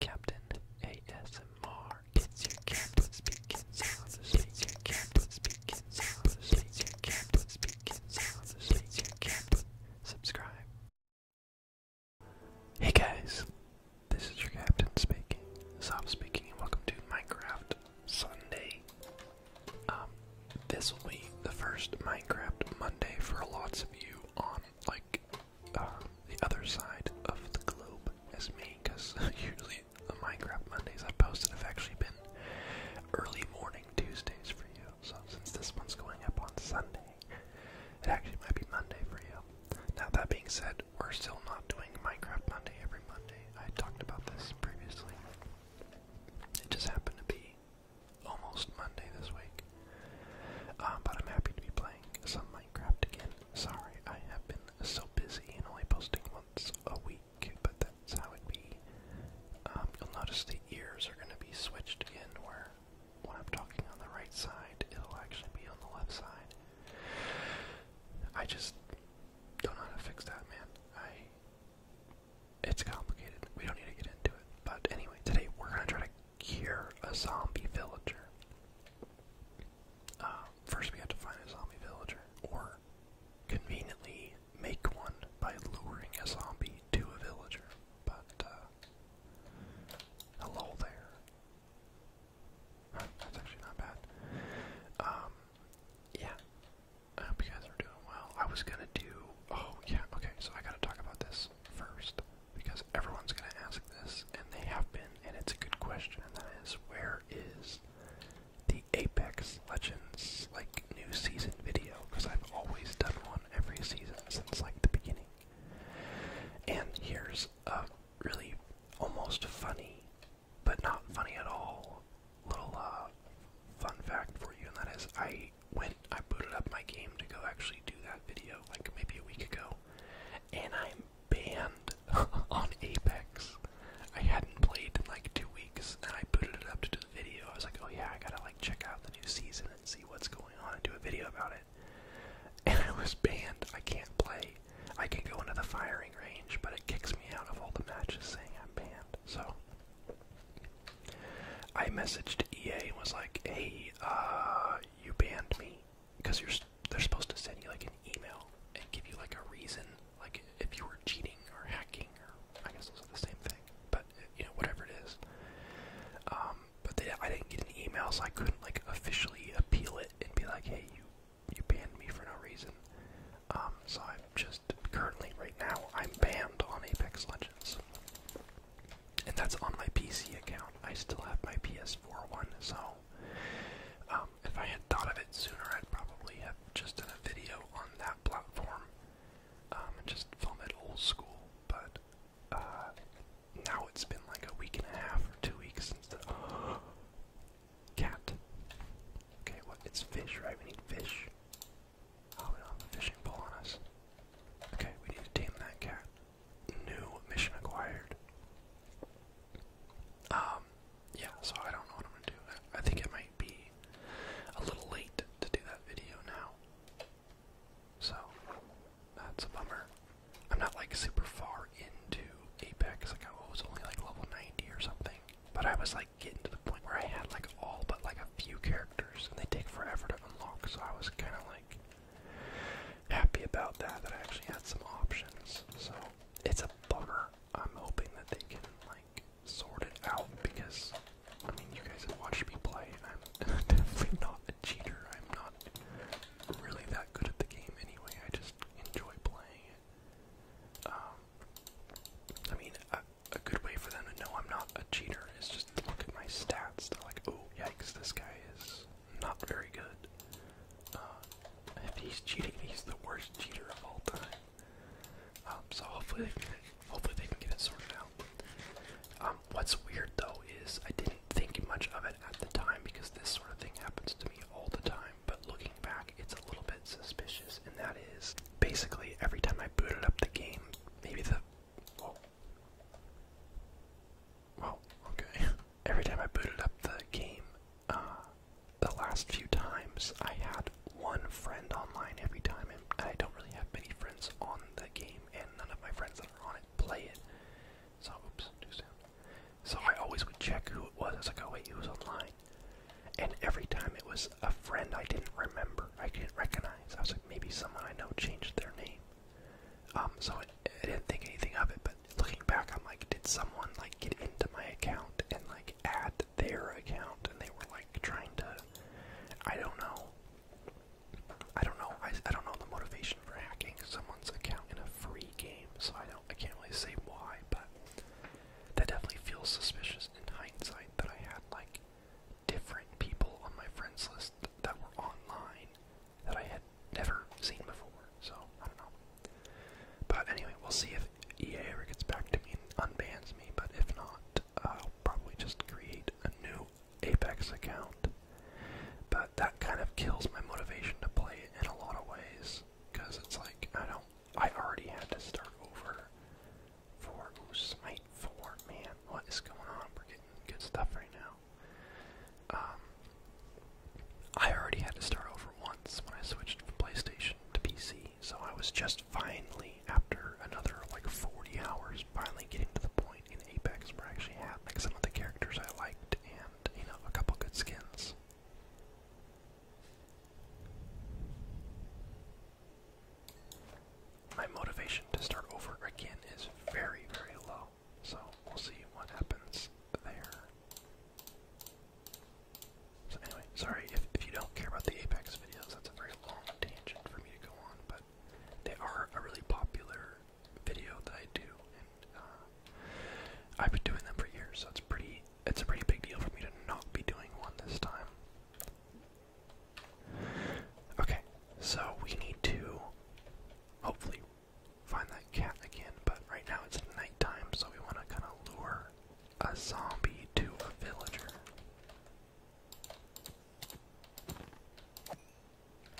Captain ASMR. It's your captain speaking softly. It's your captain speaking softly. It's your captain speaking softly. It's your captain. Subscribe. Hey guys, this is your captain speaking. Soft speaking, and welcome to Minecraft Sunday. Um, this will be the first Minecraft Monday for lots of you on like uh, the other side of the globe as me, because usually the Minecraft Mondays I posted have actually been early morning Tuesdays for you. So since this one's going up on Sunday, it actually might be Monday for you. Now that being said, we're still not doing Minecraft Monday every Monday. I talked about this previously. It just happened to be almost Monday this week. Um, but I'm happy to be playing some Minecraft again. Sorry, I have been so busy and only posting once a week, but that's how it be. Um, you'll notice the ears are going to be switched again, where when I'm talking on the right side, it'll actually be on the left side. I just don't know how to fix that, man. it's complicated. We don't need to get into it. But anyway, today we're gonna try to cure a zombie villager. Uh, first, we have to find a zombie villager, or conveniently make one by luring a zombie to a villager. But, uh, hello there. that's actually not bad. Um, yeah. I hope you guys are doing well. I was gonna do. Oh, yeah, okay, so I gotta talk about this first because everyone's going to ask this, and they have been, and it's a good question, and that is where is the Apex Legends like new season video? Because I've always done one every season since like the beginning. And here's a really almost funny, but not funny at all, little uh, fun fact for you, and that is I went, I booted up my game to go actually do that video like maybe a week ago, and I'm banned on Apex. I hadn't played in like two weeks, and I booted it up to do the video. I was like, oh yeah, I gotta like check out the new season and see what's going on and do a video about it. And I was banned. I can't play. I can go into the firing range, but it kicks me out of all the matches saying I'm banned. So I messaged EA and was like, hey, uh, you banned me because they're supposed to send you like an email and give you like a reason, like if you were cheating or hacking or I guess those are the same thing, but uh, you know whatever it is. Um, but I didn't get an email, so I couldn't like officially appeal it and be like, hey, you you banned me for no reason. Um, so I'm just currently right now I'm banned on Apex Legends and that's on my PC account. I still have my PS4 one, so um, if I had thought of it sooner, I'd probably have just done a video on that platform um, and just film it old school. But uh, now it's been like a week and a half or two weeks since the cat. Okay, what? it's fish, right? We need fish. Oh, we don't have a fishing pole on us. Okay, we need to tame that cat new mission acquired. Um, yeah, so I don't know what I'm gonna do. I, think it might be a little late to do that video now. So, that's a bummer. I'm not like super far into Apex, like I was only like level 90 or something. But I was like getting to the point where I had like all but like a few characters and they take forever to unlock, so I was kinda like happy about that, that I actually had some options. So it's a bummer. I'm hoping that they can like sort it out because I mean you guys have watched me play and I'm definitely not a cheater. I'm not really that good at the game anyway. I just enjoy playing it. Um, I mean a, good way for them to know I'm not a cheater is just look at my stats. They're like, oh yikes, this guy is not very good. if uh, he's cheating, he's the worst cheater of all time. Um, so hopefully, hopefully they can get it sorted out. Um, what's weird though is I didn't think much of it at the time because this sort of thing happens to me all the time. But looking back, it's a little bit suspicious, and that is basically every time I booted up the game, maybe the Whoa. Oh, well, okay. Every time I booted up the game, uh, the last few times, I had one friend online every time, and I don't really have many friends on the game, and none of my friends that are on it play it. So, oops, too soon. So I always would check who it was. I was like, oh wait, who was online? And every time it was a friend I didn't remember, I didn't recognize. I was like, maybe someone I know changed their name. Um, so I, I didn't think anything of it, but looking back, I'm like, did someone like get into my account and like add their account, and they were like trying to, I don't know, I don't know, I, I don't know the motivation for hacking someone's account in a free game, so I don't, I can't really say why, but that definitely feels suspicious in hindsight that I had like different people on my friends list that were online that I had never seen before. So I don't know. But anyway, we'll see if EA ever gets back to me and unbans me. But if not, I'll probably just create a new Apex account. But that kind of kills my motivation to play it in a lot of ways, because it's like I don't. I already had to start over for ooh, Smite 4. Man, what is going on? We're getting good stuff right now. Um, I already had to start over once when I switched from PlayStation to PC, so I was just finally, after another like 40 hours, finally getting to the point in Apex where I actually had like some of the characters I liked and, you know, a couple good skins. My motivation to start over again is very, very low. So we'll see what happens there. So anyway, sorry if, if you don't care about the Apex videos, that's a very long tangent for me to go on, but they are a really popular video that I do, uh, I've been doing them for years, so it's pretty it's a pretty big deal for me to not be doing one this time. Okay, so we need to hopefully find that cat again, but right now it's nighttime, so we want to kind of lure a zombie to a villager.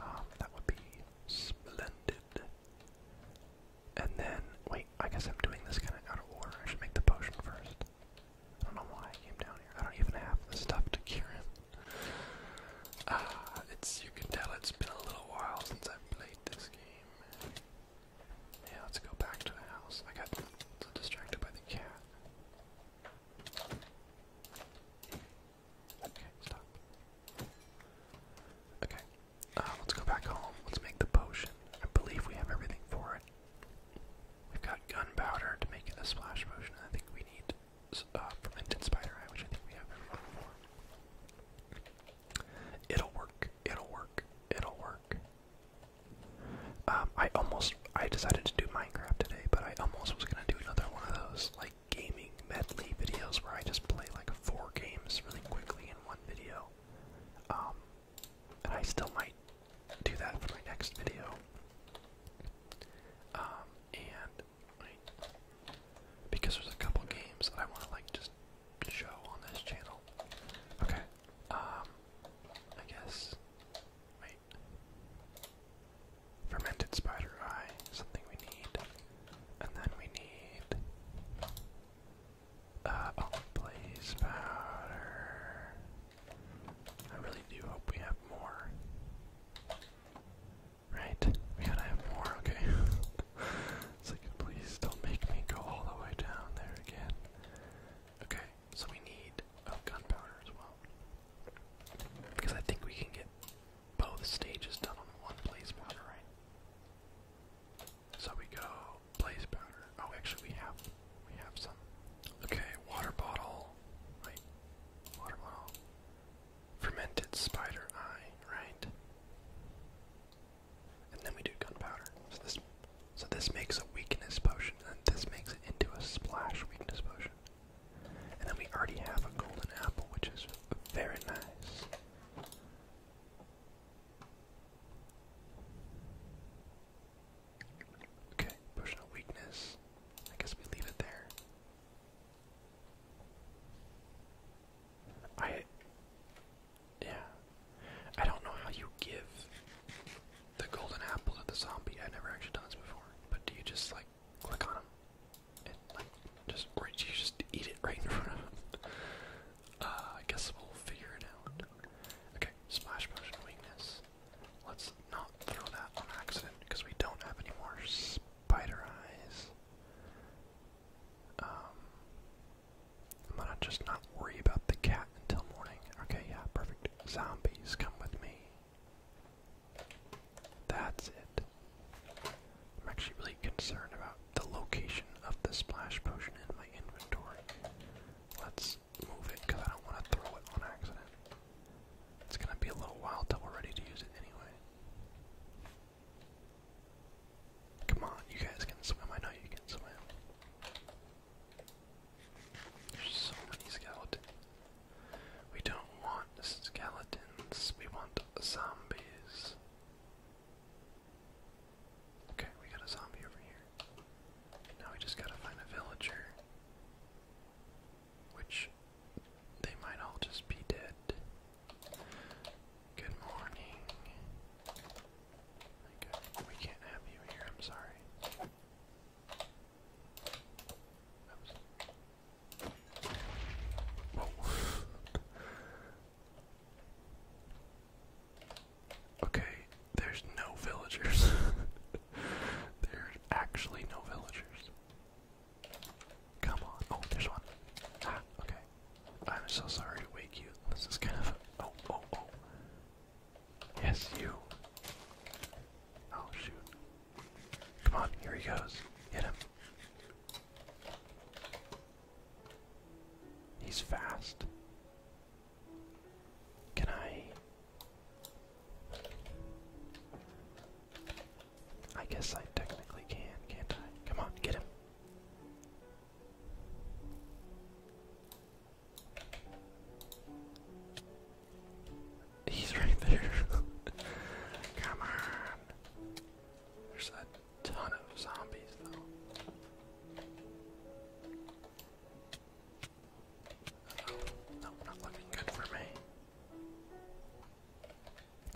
Um, that would be splendid. And then, wait, I guess I'm doing this kind of out of order. I should make the potion first. I don't know why I came down I don't even have the stuff to cure him. Ah, it's you can tell it's been a little while since i played this game. Yeah, let's go back to the house. I got distracted by the cat. Okay, stop. Okay, uh, let's go back home. Let's make the potion. I believe we have everything for it. We've got gunpowder to make it a splash potion. I think we need uh, fermented spider eye, which I think we have It'll work. It'll work. It'll work. Um, I almost I decided to do Minecraft today, but I almost was gonna do another one of those like gaming medley videos where I just play like four games really quickly in one video. Um, and I still might do that for my next video. Um, and because there's a couple games that I want to like just show on this channel. Okay. Um, I guess. Wait. Fermented spider eye, something we need, and then we need. Uh oh, powder. I really do hope we have more. Right? Man, I have more, okay. it's please don't make me go all the way down there again. Okay, so we need oh, gunpowder as well. Because I think we can get both stages done on one blaze powder, right? So we go blaze powder. Oh, actually, we have we have some. Okay, water bottle. Right, water bottle fermented spider eye, right? And then we do gunpowder. So this, makes a weakness potion, and this makes it into a splash weakness potion. And then we already have a golden apple, which is very nice. Okay, potion of weakness. I guess we leave it there. I yeah. I don't know how you give the golden apple to the zombie. I've never actually done this before. But do you just like click on him and like just or do you just eat it right in front of him? Uh, I guess we'll figure it out. Okay, splash potion weakness. Let's not throw that on accident because we don't have any more spider eyes. Um, I'm just not worry about the cat until morning. Okay, yeah, perfect. Zombies, come with me. That's it. I'm actually really concerned about the location of the splash potion in my inventory. Let's move it because I don't want to throw it on accident. It's gonna be a little while till we're ready to use it anyway. Come on, you guys can swim. I know you can swim. There's so many skeletons. We don't want skeletons, we want zombies. Okay, we got a zombie over here. Now we just gotta find a villager which they might all just be dead. Good morning. we can't have you here, I'm sorry. okay, there's no villagers. there's actually no villagers. Come on. Oh, there's one. Ah, okay. I'm so sorry to wake you. This is kind of. Oh, oh, oh. Yes, you. Oh, shoot. Come on, here he goes. Hit him. He's fast. Can I. I guess I technically can, can't I? Come on, get him. He's right there. Come on. There's a ton of zombies, though.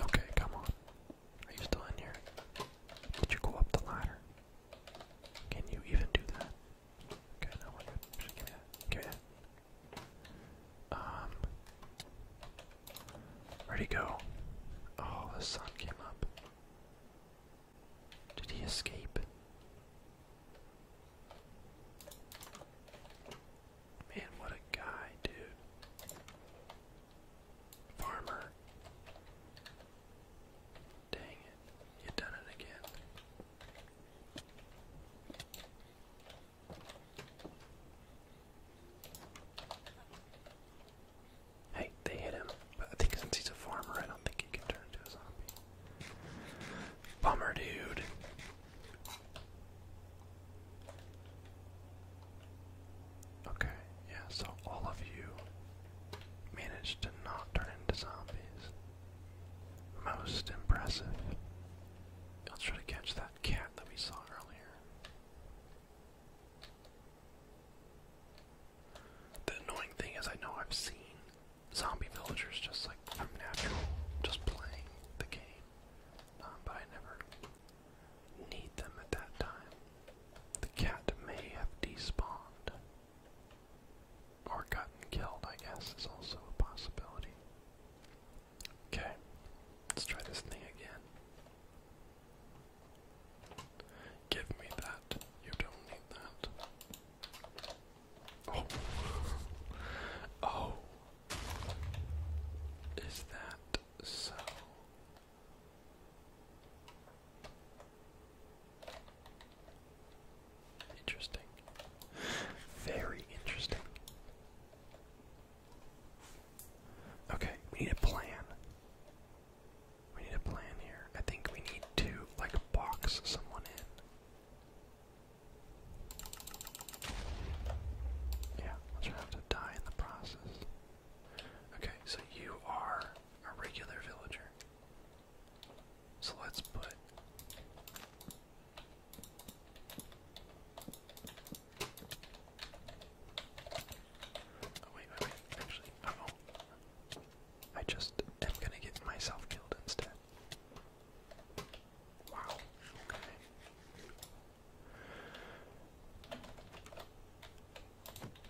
Okay, come on. Are you still in here? Did you go up the ladder? Can you even do that? Okay, no, we're good. Just give me that. Give me Um. Where'd he go? Oh, the sun came up. Did he escape? Man, what a guy, dude. Farmer. Dang it, you done it again. Hey, they hit him, but I think since he's a farmer, I don't think he can turn into a zombie. Bummer, dude. Okay, yeah, so all of you managed to not turn into zombies. Most impressive. Let's try to catch that cat that we saw earlier. The annoying thing is, I know I've seen zombie villagers just like from natural, just playing the game. Um, but I never need them at that time. The cat may have despawned. Or gotten killed, I guess, is also a possibility. Okay, let's try this thing again. Give me that. You don't need that. Oh. oh. Is that so? Interesting. Very interesting. Okay, we need a plan. We need a plan here. I think we need to, like, box someone in. Yeah, I'll try not to die in the process. Okay, so you are a regular villager. So let's put Oh wait, wait, wait. Actually, oh. I just am gonna get myself killed instead. Wow, okay.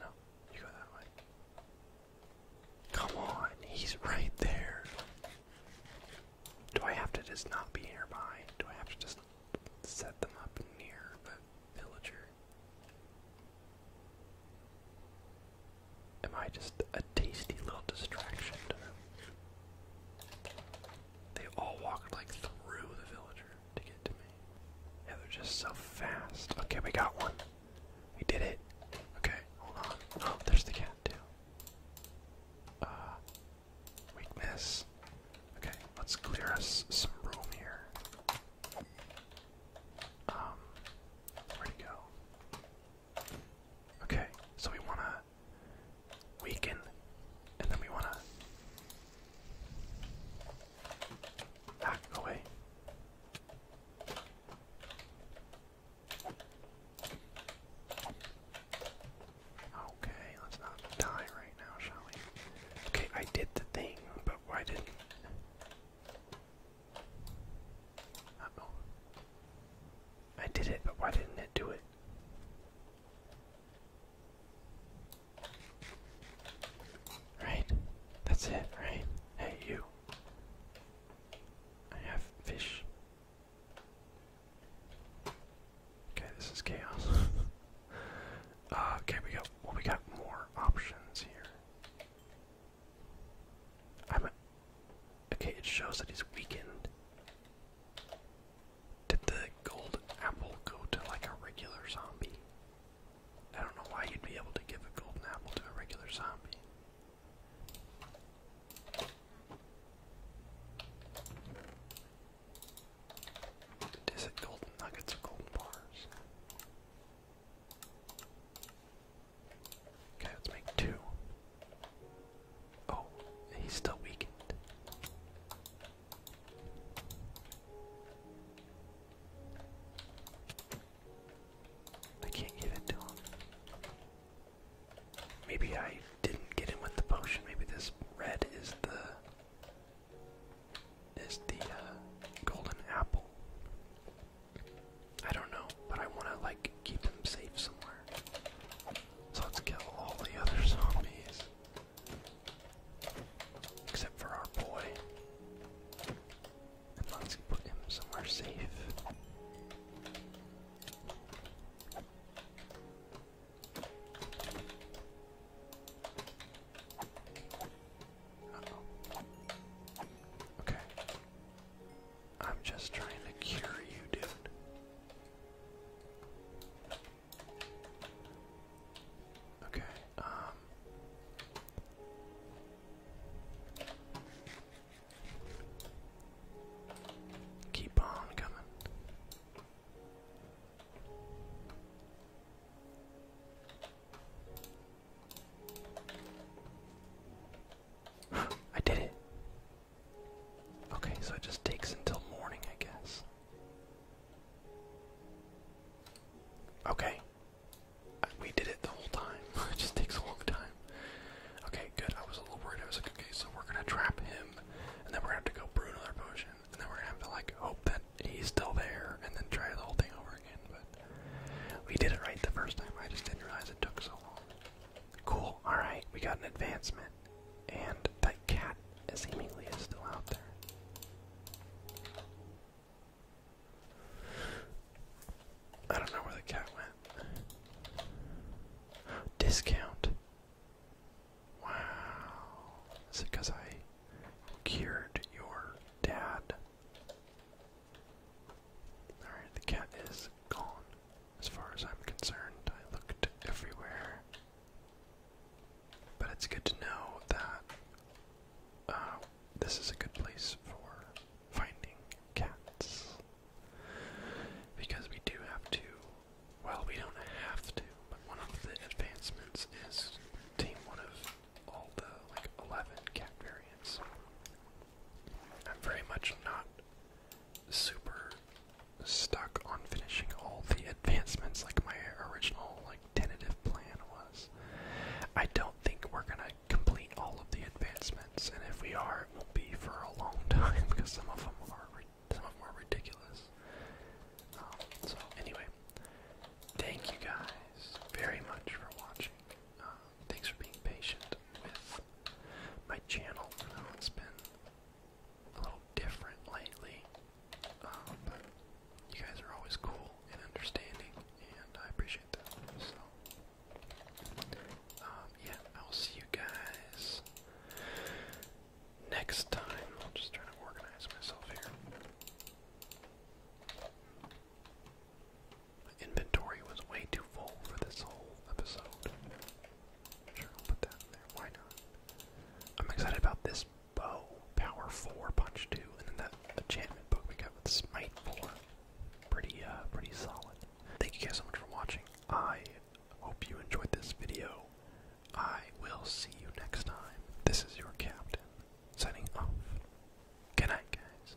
No, you go that way. Come on, he's right there. Do I have to just not be nearby? Do I have to just set them up near the villager? Am I just a tasty little distraction to them? They all walked like through the villager to get to me. Yeah, they're just so fast. Okay, we got one. We did it. Okay, hold on. Oh, there's the cat too. Uh, weakness. Okay, let's clear us some room here. Um, where'd it go? Okay, so we wanna to weaken, and then we want to back away. Okay, let's not die right now, shall we? Okay, I did the thing, but why didn't? I did it, but why didn't it do it? Right? That's it, right? Hey, you. I have fish. Okay, this is chaos. Uh, okay, we got, well, we got more options here. Okay, it shows that he's weakened. Did the gold apple go to like a regular zombie? I don't know why you'd be able to give a golden apple to a regular zombie. Is it golden nuggets or golden bars? Okay, let's make two. Oh, he's still weakened. I can't give it to him. Maybe I didn't get him with the potion. Maybe this red is the is the uh, golden apple. I don't know, but I want to like keep them safe somewhere. So let's kill all the other zombies. Except for our boy. And let's put him somewhere safe. Okay. I'm just trying to cure you, dude. Okay, um. Keep on coming. I did it. Okay, so it just takes until morning, I guess. Okay. Uh, we did it the whole time. it just takes a long time. Okay, good. I was a little worried. I was like, okay, so we're gonna trap him, and then we're gonna have to go brew another potion, and then we're gonna have to like hope that he's still there, and then try the whole thing over again. But we did it right the first time. I just didn't realize it took so long. Cool. All right, we got an advancement, and that cat seemingly is still out there. I don't know where the cat went. Discount. Wow. Is it because I cured your dad? Alright, the cat is gone. As far as I'm concerned, I looked everywhere. But it's good to know that uh, this is a good place for finding cats. Because we do have to, well, we don't have to, but one of the advancements is team one of all the like 11 cat variants. I'm very much not super stuck on finishing all the advancements like my original like tentative plan was. I don't think we're gonna complete all of the advancements, and if we are, it won't be for a long time because some of them are some of them are ridiculous. Um, so anyway, thank you guys very much for watching. Uh, thanks for being patient with my channel. it's been a little different lately, but um, you guys are always cool and understanding, and I appreciate that. So, um, yeah, I will see you guys next time. I'll just try to organize myself here. My inventory was way too full for this whole episode. I'm sure, put that in there. Why not? I'm excited about this bow, power four, punch two, and then that enchantment book we got with smite four. Pretty, uh, pretty solid. Thank you guys so much for watching. I hope you enjoyed this video. I will see you next time. This is your captain signing off. Good night, guys.